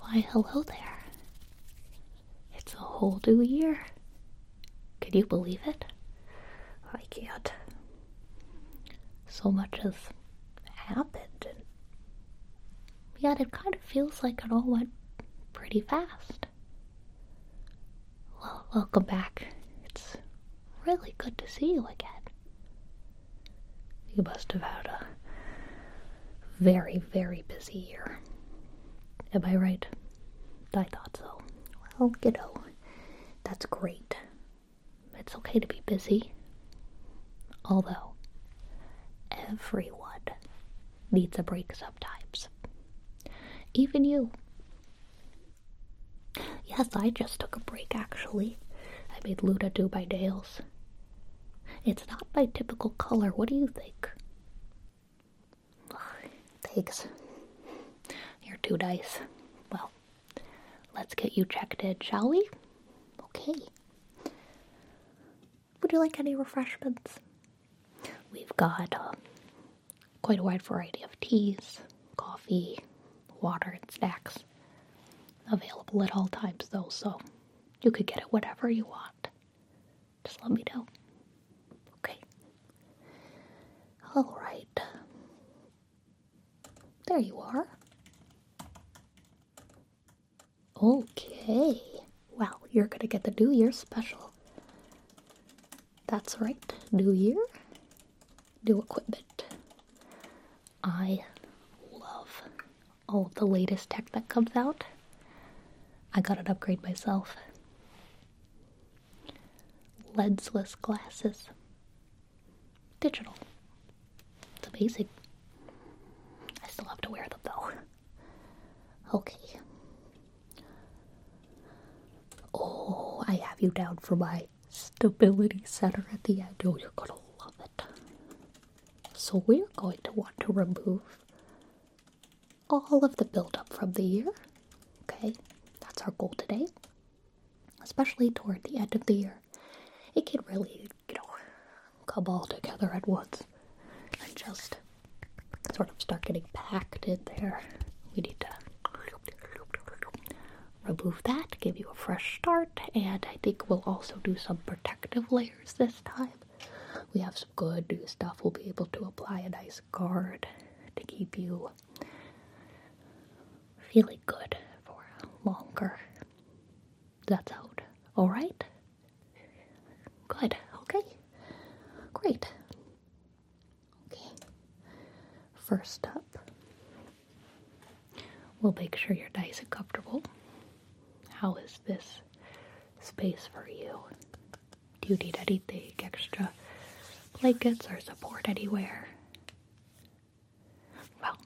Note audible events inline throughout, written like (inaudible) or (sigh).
Why, hello there. It's a whole new year. Can you believe it? I can't. So much has happened, and yet it kind of feels like it all went pretty fast. Well, welcome back. It's really good to see you again. You must have had a very, very busy year. Am I right? I thought so. Well, you know, that's great. It's okay to be busy. Although, everyone needs a break sometimes. Even you. Yes, I just took a break actually. I made Luda do my nails. It's not my typical color. What do you think? Thanks. You're two dice. Well, let's get you checked in, shall we? Okay. Would you like any refreshments? We've got uh, quite a wide variety of teas, coffee, water, and snacks available at all times, though, so you could get it whatever you want. Just let me know. Okay. All right. There you are. Okay. Well, you're going to get the New Year special. That's right. New Year, new equipment. I love all the latest tech that comes out. I got an upgrade myself. Lensless glasses. Digital. It's amazing. I still have to wear them though. Okay. Oh, I have you down for my stability center at the end. Oh, you're gonna love it. So we're going to want to remove all of the buildup from the year. Okay, that's our goal today. Especially toward the end of the year. It can really, you know, come all together at once and just sort of start getting packed in there. We need to remove that, give you a fresh start, and I think we'll also do some protective layers this time. We have some good new stuff. We'll be able to apply a nice guard to keep you feeling good for longer. That's out. Alright? Good. Okay. Great. Okay. First up, We'll make sure your dice are comfortable. How is this space for you? Do you need anything extra? Blankets or support anywhere? Well,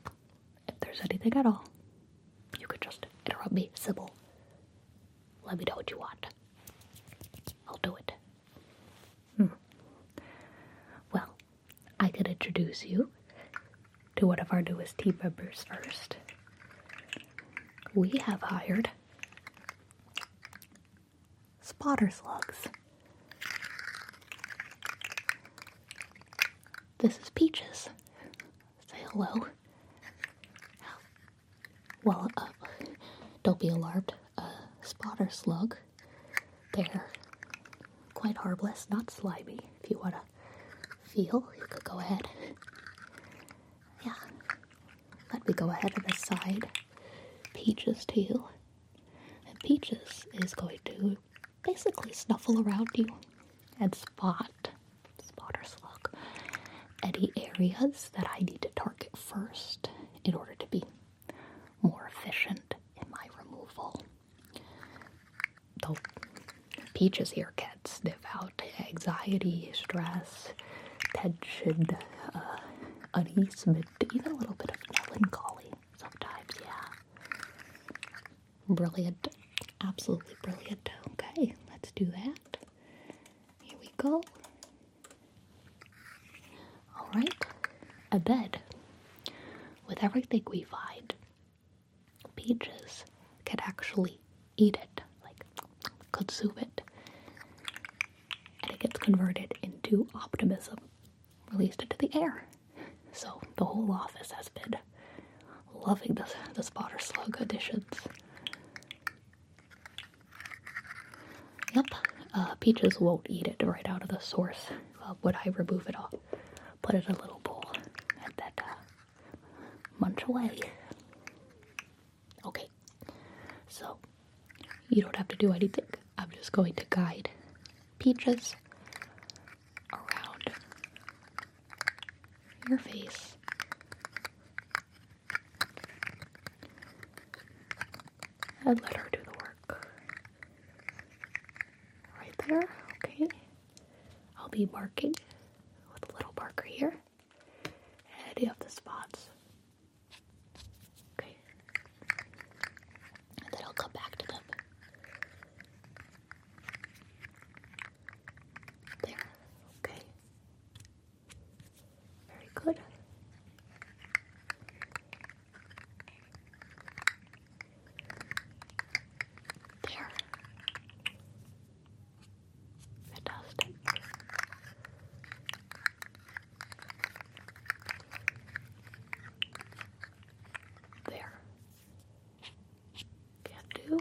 if there's anything at all, you could just interrupt me, Sybil. Let me know what you want. I'll do it. Hmm. Well, I could introduce you to whatever of our newest team members first. We have hired spotter slugs. This is Peaches. Say hello. Well, uh, don't be alarmed. Uh, spotter slug. They're quite harmless, not slimy. If you want to feel, you could go ahead. Yeah. Let me go ahead and side. peaches too, And peaches is going to basically snuffle around you and spot, spot or slug, any areas that I need to target first in order to be more efficient in my removal. The peaches here can sniff out anxiety, stress, tension, uh, unease, even a little bit of melancholy sometimes, yeah. Brilliant. Absolutely brilliant. Okay, let's do that. Here we go. Alright, a bed. With everything we find, Peaches could actually eat it, like, consume it. And it gets converted into optimism, released into the air. So the whole office has been loving the, the spotter slug editions. Yep, uh, peaches won't eat it right out of the source uh, Would I remove it off. Put it in a little bowl and then uh, munch away. Okay, so you don't have to do anything. I'm just going to guide peaches around your face. And let her do the work. Right there, okay. I'll be marking with a little marker here any of the spots. Okay. And then I'll come back to them. There. Okay. Very good. There. Fantastic. There. Can do.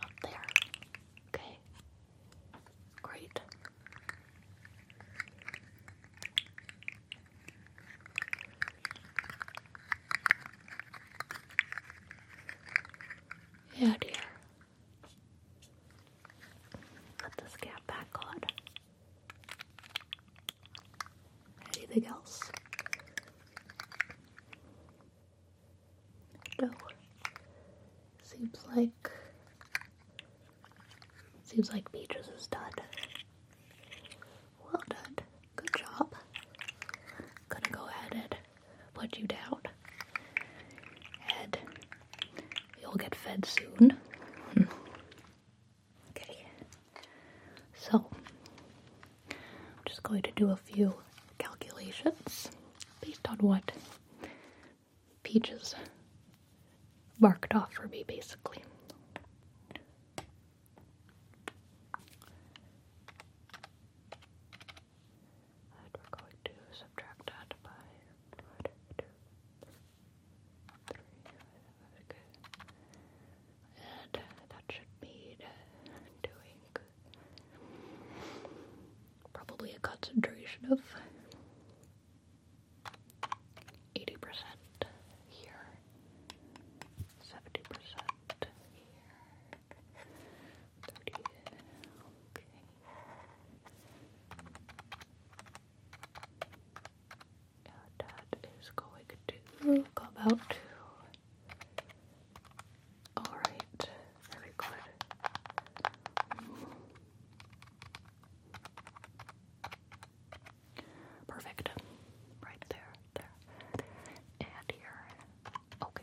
Up there. Okay. Great. Yeah, dear. Let this cap back on. Anything else? No. Seems like seems like Peaches is done. Well done. Good job. gonna go ahead put you down. And you'll get fed soon. (laughs) okay. So I'm just going to do a few calculations based on what Peaches marked off for me, basically. And we're going to subtract that by one, two, three, And that should mean doing Probably a concentration of 80% here, 70% here, okay. that is going to come out to Alright, very good. Perfect. Right there, there, and here. Okay.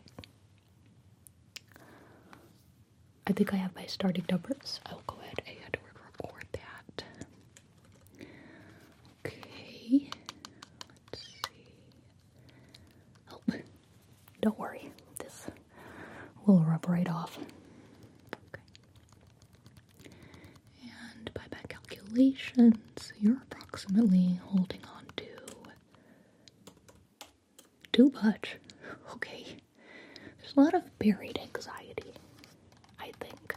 I think I have my starting numbers. I'll go ahead and record that. Okay. Let's see. Oh, don't worry, this will rub right off. Okay. And by calculations, you're approximately holding on to too much. Okay. There's a lot of buried anxiety, I think.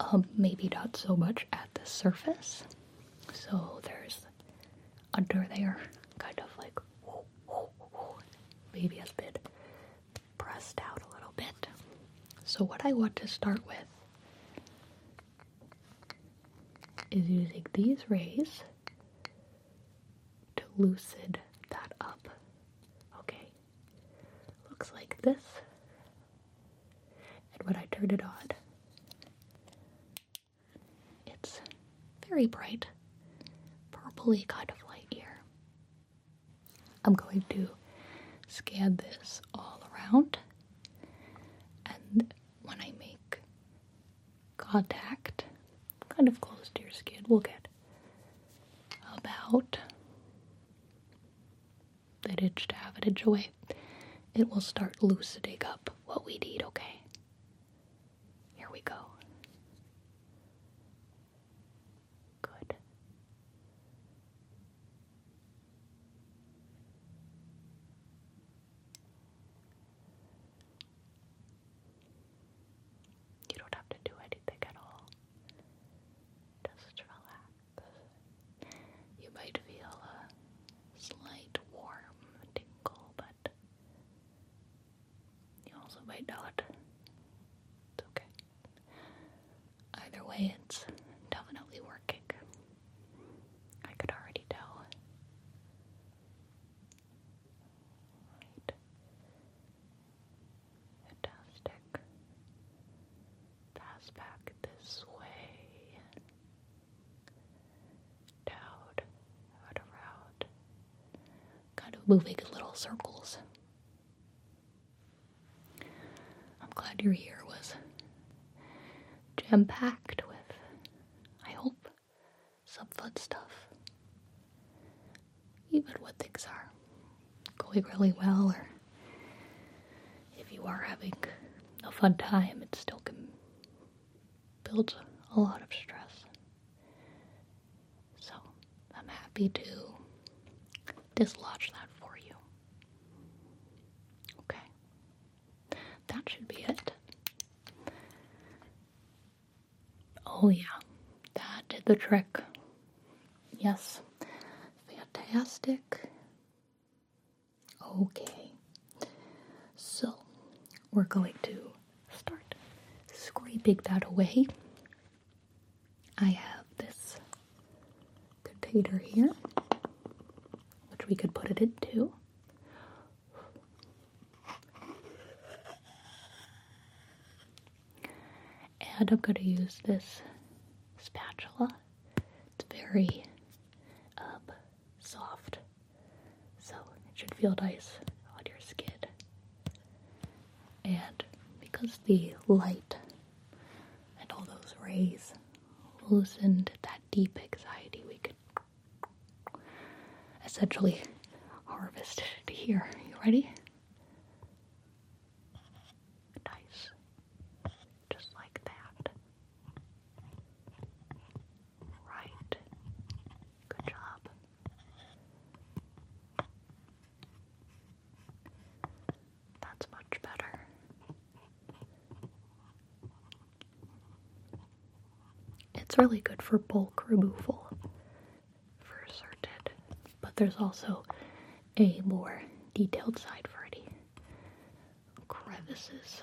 Um, maybe not so much at the surface. So there's under there, kind of like whoa, whoa, whoa. maybe has been pressed out a little bit. So what I want to start with is using these rays to loosen that up. Okay, looks like this. And when I turn it on, it's very bright, purpley kind of light here. I'm going to scan this all around, and when I make contact, kind of close to your skin, we'll get about an inch to half an inch away. It will start loosening up what we need, okay? Here we go. Good. You don't have to do anything at all. Just relax. You might feel a slight warm tingle, but you also might not. It's okay. Either way, it's definitely working. I could already tell. Fantastic. Pass back this way. Out, out, around. Kind of moving in little circles. I'm glad your year was jam packed with, I hope, some fun stuff. Even when things are going really well, or if you are having a fun time, it still can builds a lot of stress. So I'm happy to dislodge that for you. Okay. That should be it. Oh, yeah. That did the trick. Yes. Fantastic. Okay. So, we're going to start scraping that away. I have this container here, which we could put it into. And I'm going to use this spatula. It's very um, soft. So it should feel nice on your skin. And because the light and all those rays loosened that deep anxiety, we could essentially harvest it here. You ready? Nice. Just like that. Right Good job. That's much better. It's really good for bulk removal for certain, but there's also a more detailed side for any crevices.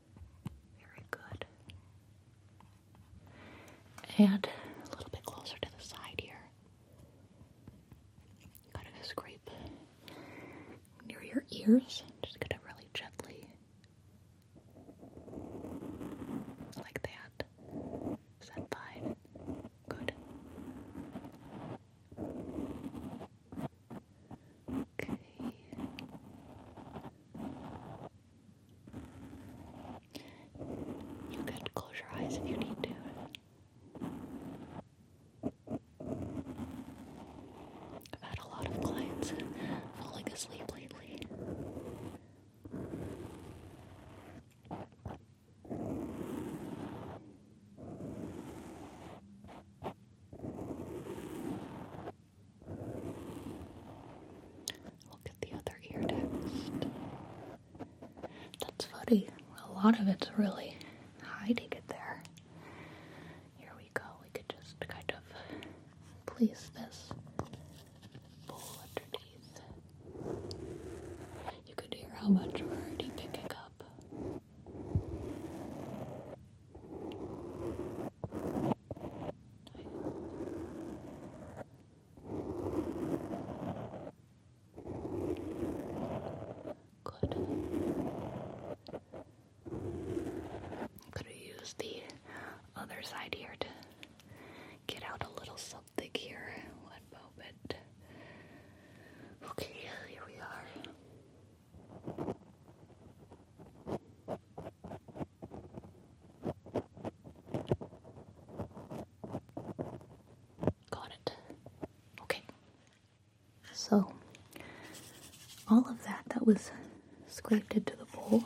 Very good. And a little bit closer to the side here. Kind of scrape near your ears. Just gonna really gently, like that. Is that fine? Good. Okay. You could close your eyes if you need to. I've had a lot of clients falling asleep lately. Look at the other ear That's funny. A lot of it's really hiding it there. Here we go. We could just kind of place this bowl underneath. You could hear how much we're already picking up. Good. Could have used the other side here to get out a little something here. One moment. Okay, here we are. Got it. Okay. So, all of that that was scraped into the bowl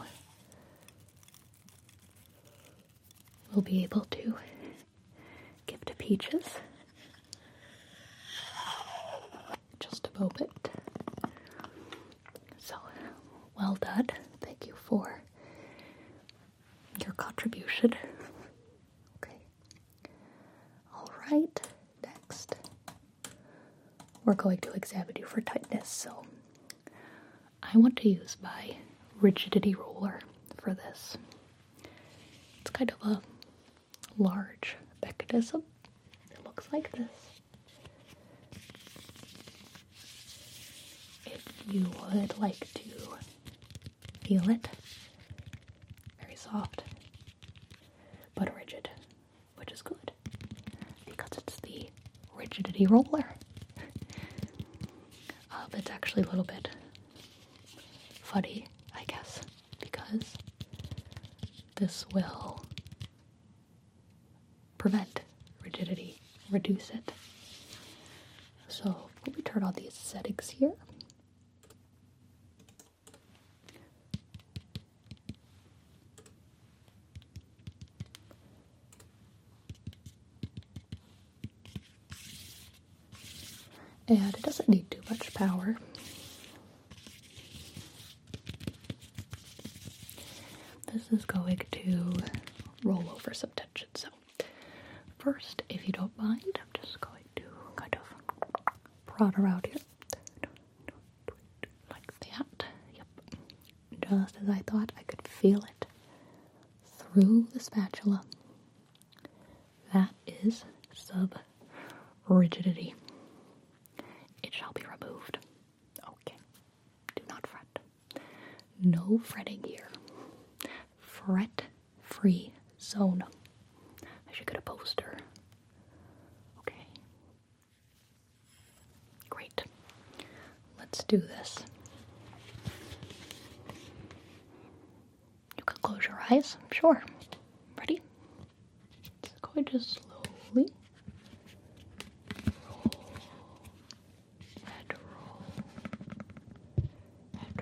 we'll be able to give to Peaches. Just a moment. So, well done. Thank you for your contribution. Okay. All right. Next, we're going to examine you for tightness. So, I want to use my rigidity roller for this. It's kind of a large mechanism. It looks like this. If you would like to feel it, very soft but rigid, which is good because it's the rigidity roller. uh, it's actually a little bit funny, I guess, because this will prevent rigidity, reduce it. So we'll return all the settings here. And it doesn't need too much power. This is going to roll over some tension. So, first, if you don't mind, I'm just going to kind of prod around here. Like that. Just as I thought, I could feel it through the spatula. That is sub rigidity. It shall be removed. Okay, do not fret. No fretting here. Fret free zone. I should get a poster. Okay. Great. Let's do this. You could close your eyes, sure. Ready? It's going to slowly and roll, and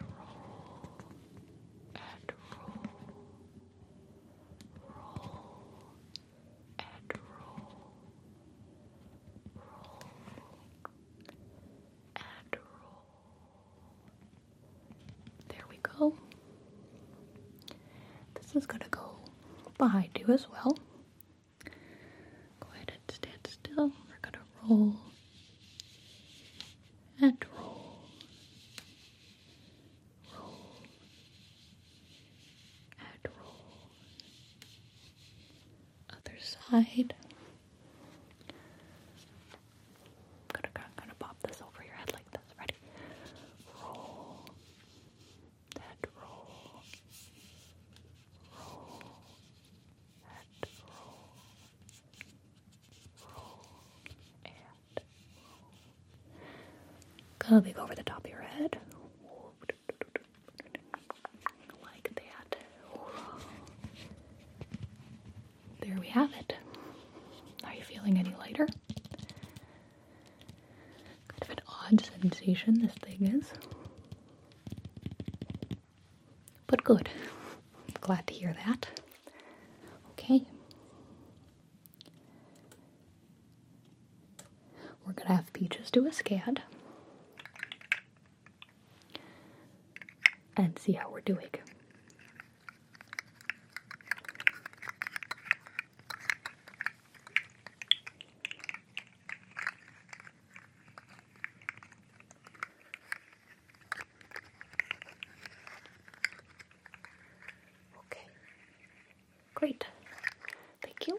roll, and roll, roll, and roll, roll, and roll. There we go. This is going to go behind you as well. Go ahead stand still. We're gonna roll and roll, roll and roll. Other side. I'm gonna, gonna pop this over your head like this. Ready? Roll and roll, roll and roll, roll and Go big over the top of your head, like that. There we have it. Are you feeling any lighter? Kind of an odd sensation this thing is. But good. Glad to hear that. Okay. We're going to have Peaches do a SCAD and see how we're doing. Okay, great. Thank you.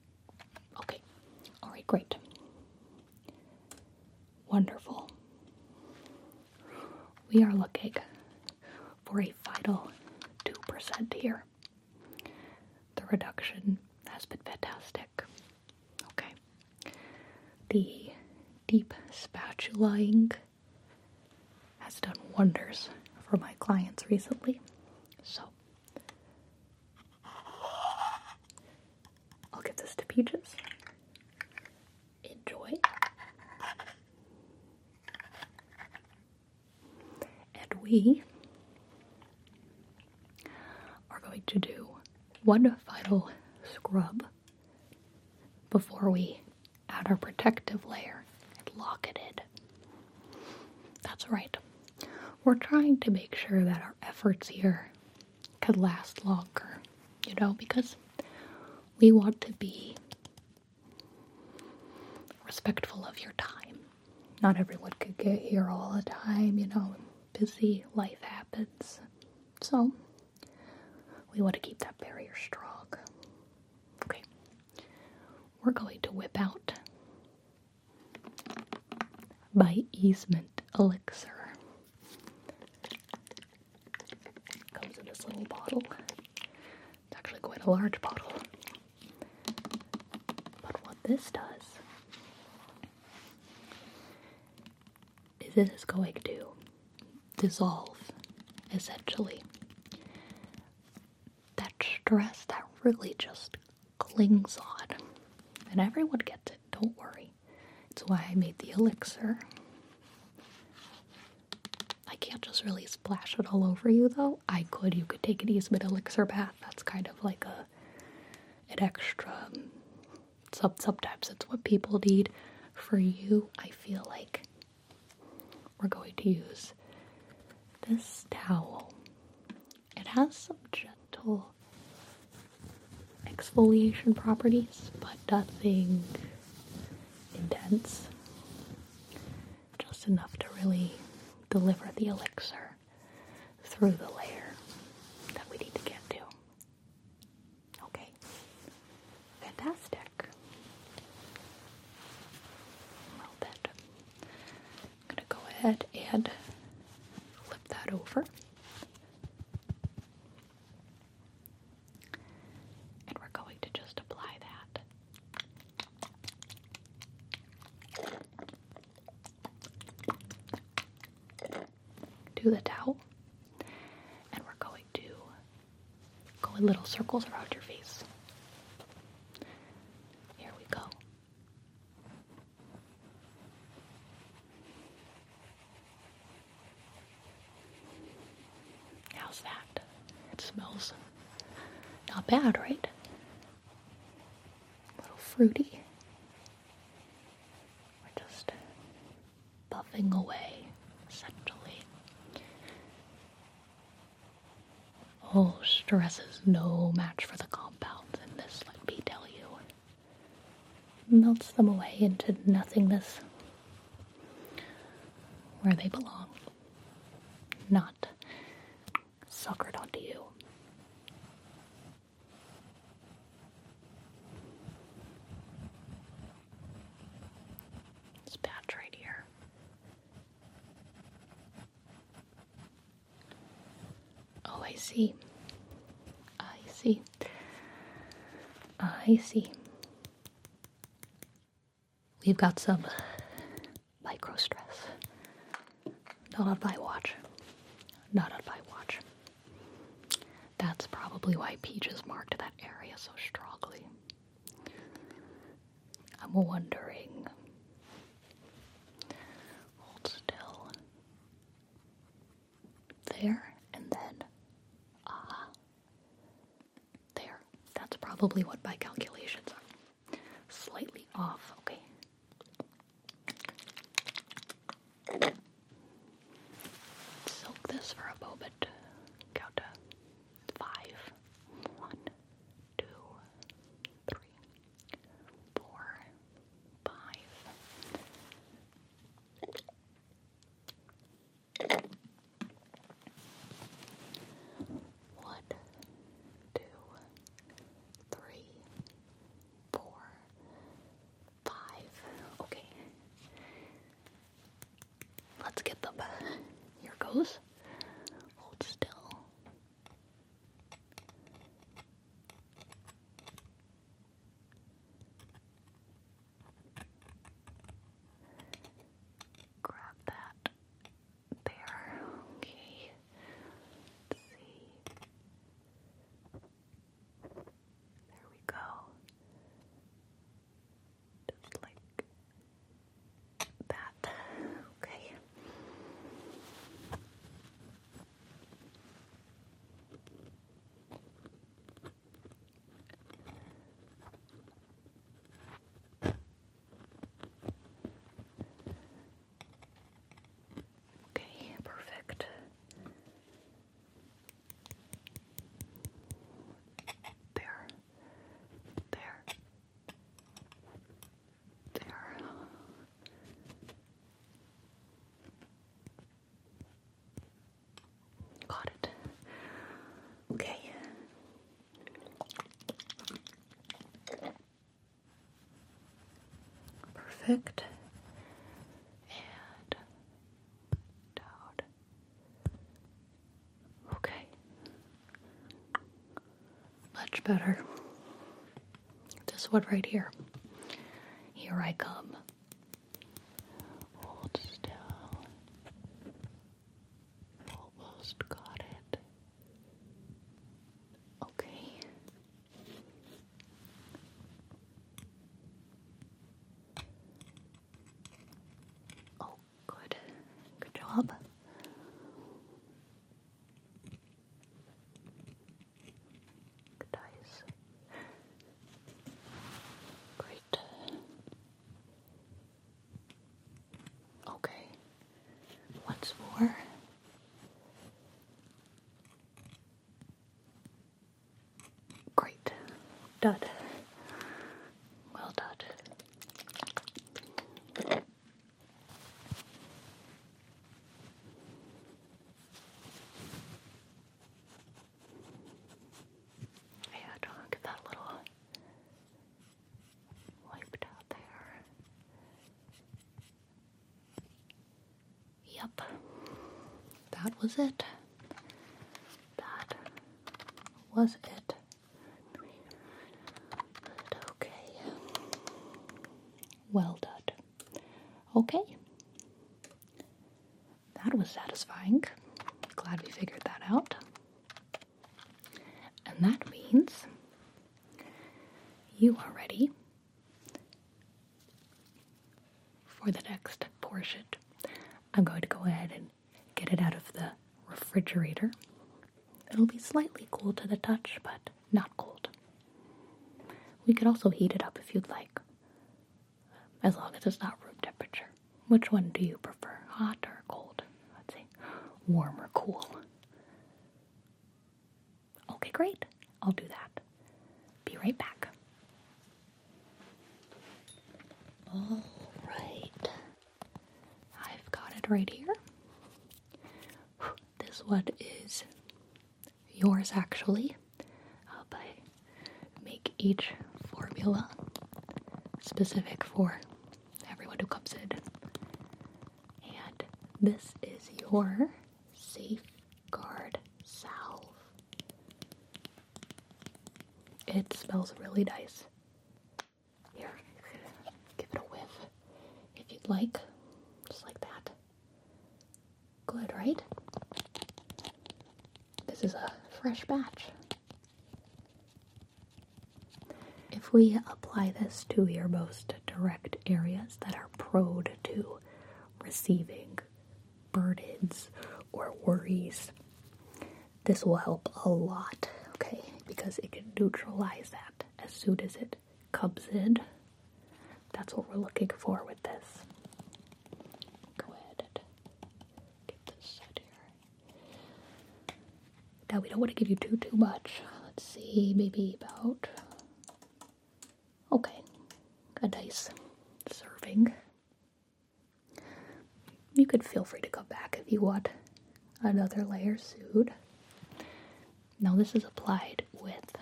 Okay. All right, great. Wonderful. We are looking for a vital 2% here. The reduction has been fantastic. Okay. The deep spatulaing has done wonders for my clients recently. So I'll give this to Peaches. Enjoy. And we are going to do one final scrub before we add our protective layer and lock it in. That's right. We're trying to make sure that our efforts here could last longer, you know, because we want to be respectful of your time. Not everyone could get here all the time, you know, busy life happens. So, we want to keep that barrier strong. Okay. We're going to whip out by Easement Elixir. Comes in this little bottle. It's actually quite a large bottle. But what this does is it is going to dissolve essentially that stress that really just clings on. And everyone gets it, don't worry. It's why I made the elixir. I can't just really splash it all over you though. I could. You could take an easement elixir bath. That's kind of like a an extra. Um, sub sometimes That's what people need. For you, I feel like we're going to use this towel it has some gentle exfoliation properties, but nothing intense. Just enough to really deliver the elixir through the layer that we need to get to. Okay, fantastic. Well, then, I'm going to go ahead and flip that over. And we're going to just apply that. Do the towel, and we're going to go in little circles around your face. Here we go. How's that? It smells not bad, right? A little fruity. We're just buffing away, essentially. Oh, stress is no match for the compounds in this, let me tell you. Melts them away into nothingness where they belong, not suckered onto you. This patch right here. Oh, I see. I see. I see. We've got some micro stress. Not on my watch. Not on my watch. That's probably why Peaches marked that area so strongly. I'm wondering Hold still. There, and then. Ah. there. That's probably what my calculations are. Slightly off, okay. Soak this for a moment. Count to five. One, two, three, four, five. Okay. Let's get them. Here goes. Hold still. Grab that there. Okay. see. There we go. Just like that. Okay. Okay, perfect. There, there, there. Got it. Okay. Perfect. And down. Okay. Much better. This one right here. Here I come. Hold still. Almost got it. Okay. Oh, good. Good job. That is great. Okay, what's more? Great. Done. Well done. Yeah, don't get that little wiped out there. Yep, that was it. That was it. But okay. Well done. Okay. That was satisfying. Glad we figured that out. And that means you are ready for the next portion. I'm going to go ahead and get it out of the refrigerator. It'll be slightly cool to the touch, but not cold. We could also heat it up if you'd like, as long as it's not room temperature. Which one do you prefer, hot or cold? Let's see, warm or cool? Okay, great. I'll do that. Be right back. All right. I've got it right here. This one is yours actually, uh, but I make each formula specific for everyone who comes in. And this is your safeguard salve. It smells really nice. Here, give it a whiff if you'd like, just like that. Good, right? This is a fresh batch. If we apply this to your most direct areas that are prone to receiving burdens or worries, this will help a lot, okay? Because it can neutralize that as soon as it Cubsid. That's what we're looking for with this. Go ahead get this set here. Now we don't want to give you too too much. Let's see, maybe about okay, a nice serving. You could feel free to go back if you want another layer suit. Now this is applied with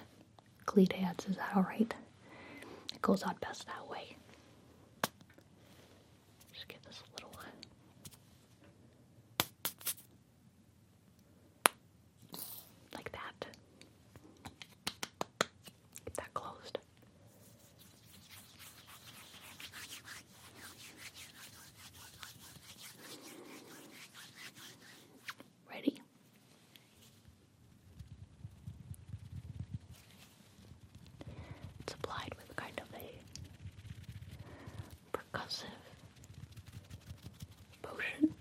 cleat Is that alright? It goes on best that way. Just give this a little. Uh, like that. Get that closed. Ready? It's applied with kind of a percussive potion.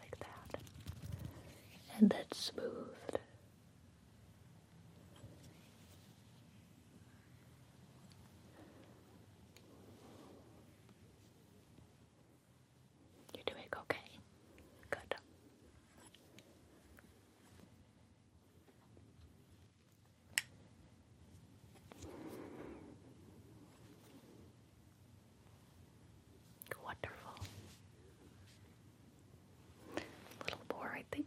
Like that. And then smoothed. You're doing okay. Good. Wonderful. A little more, I think.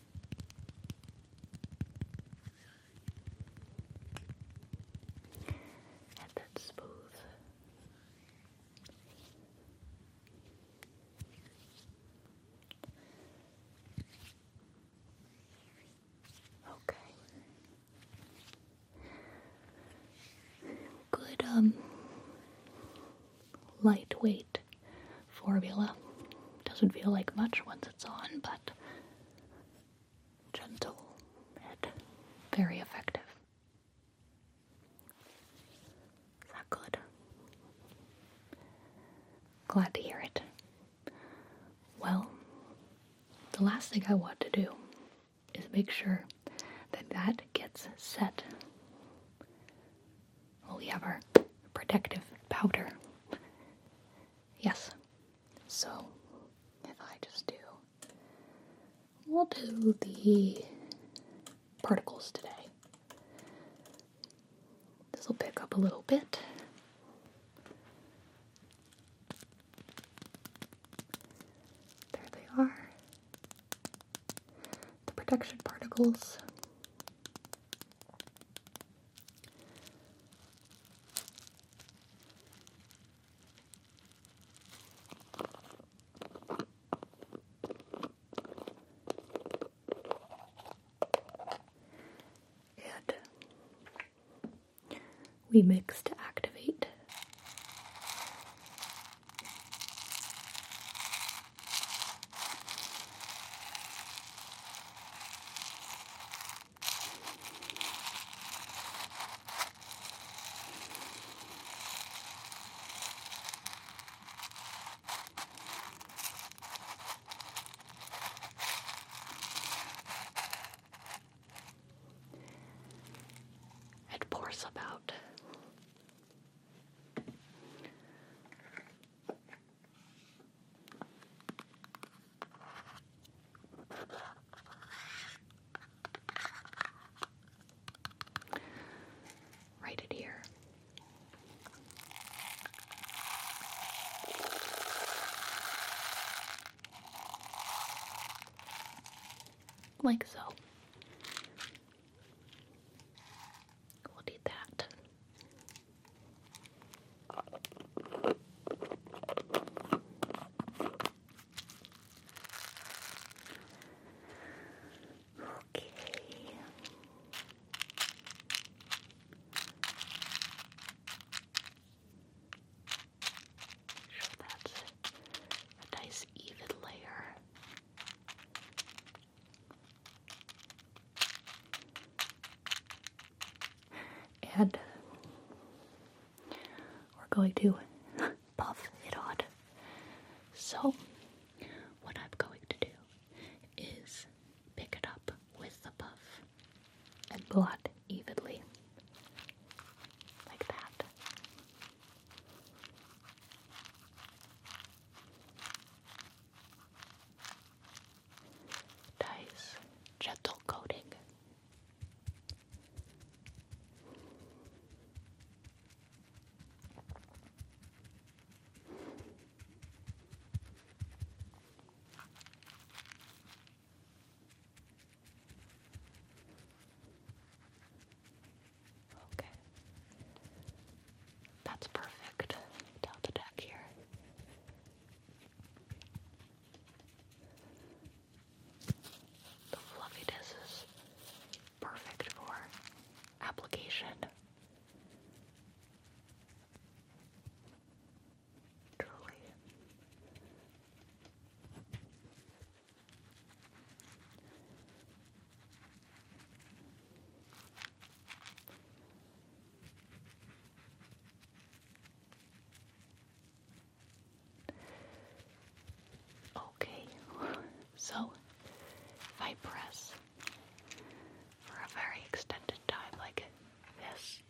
And smooth. Okay. Good, um, lightweight great formula. Doesn't feel like much once it's on, but gentle and very effective. Is that good? Glad to hear it. Well, the last thing I want to do is make sure that that gets set well, we have our protective powder. Yes. So, if I just do, we'll do the particles today. This will pick up a little bit. There they are. The protection particles. And we mix to activate. It pours about Write it here. Like so. We'll need that. Okay. Sure, that's a nice even layer. And we're going to (laughs) puff it on. So, what I'm going to do is pick it up with the puff and blot evenly. Like that. Dice gentle coating. Okay. That's perfect down the deck here. The fluffiness is perfect for application. Truly. Okay, (laughs) so if I press for a very extended time, like this,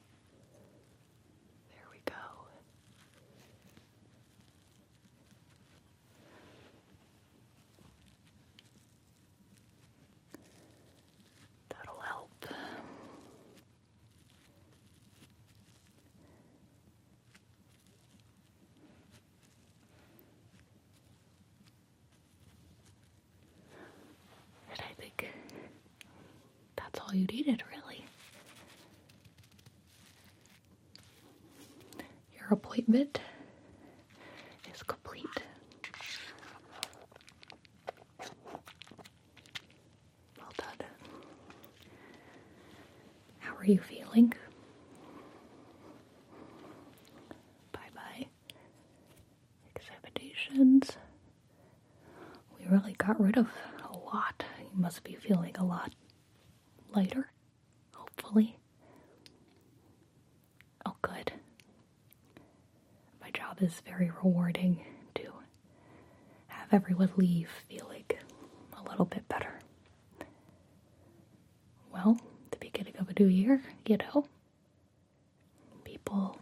there we go. That'll help. I think that's all you needed, really. Your appointment is complete. Well done. How are you feeling? Bye bye. Examinations. We really got rid of a lot. You must be feeling a lot lighter, hopefully. Oh, good. My job is very rewarding to have everyone leave feeling a little bit better. Well, the beginning of a new year, you know, people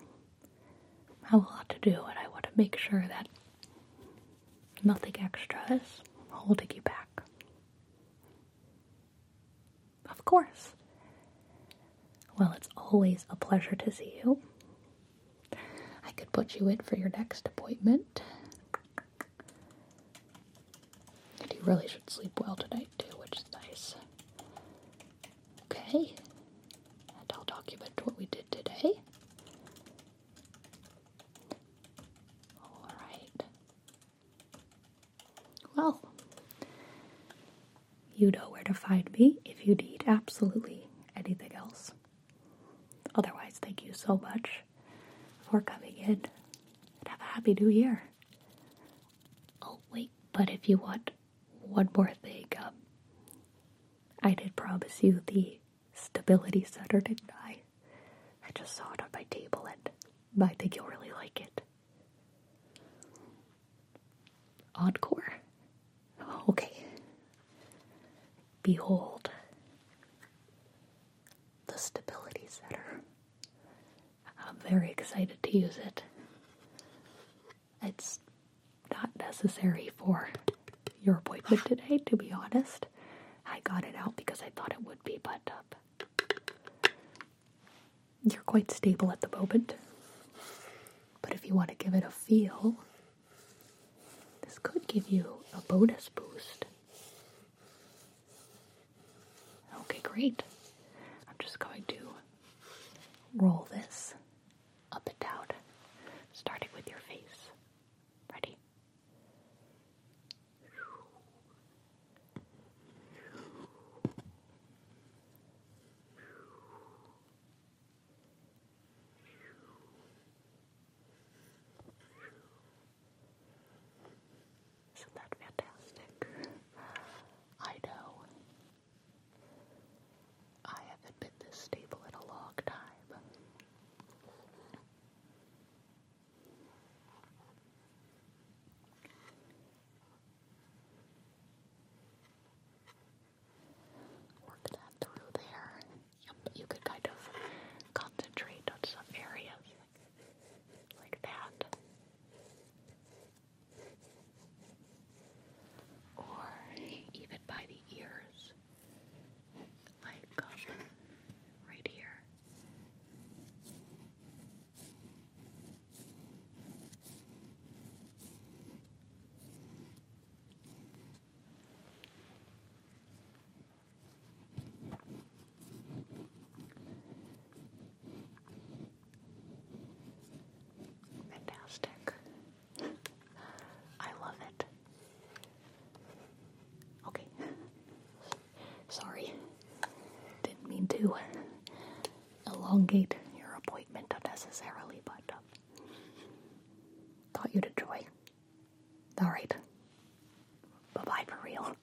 have a lot to do, and I want to make sure that nothing extra is holding you back. Of course. Well, it's always a pleasure to see you. I could put you in for your next appointment. And you really should sleep well tonight, too, which is nice. Okay. And I'll document what we did today. Alright. Well, you know where to find me if you need absolutely anything else. Otherwise, thank you so much for coming in and have a happy new year. Oh, wait, but if you want one more thing, um, I did promise you the stability center, didn't I? I just saw it on my table and I think you'll really like it. Encore? Okay. Behold the stability setter. I'm very excited to use it. It's not necessary for your appointment today, to be honest. I got it out because I thought it would be, but up you're quite stable at the moment. But if you want to give it a feel, this could give you a bonus boost. Okay, great. I'm just going to roll this up and down, starting with your face. Ready? Isn't that fantastic? I know. I haven't been this stable in a long time. Work that through there. Yep, you could kind of concentrate on some areas like that. Or even by the ears, like um, right here. Fantastic. I love it. Okay. Sorry. Didn't mean to elongate your appointment unnecessarily, but um, thought you'd enjoy. All right. Bye bye for real.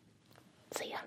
See ya.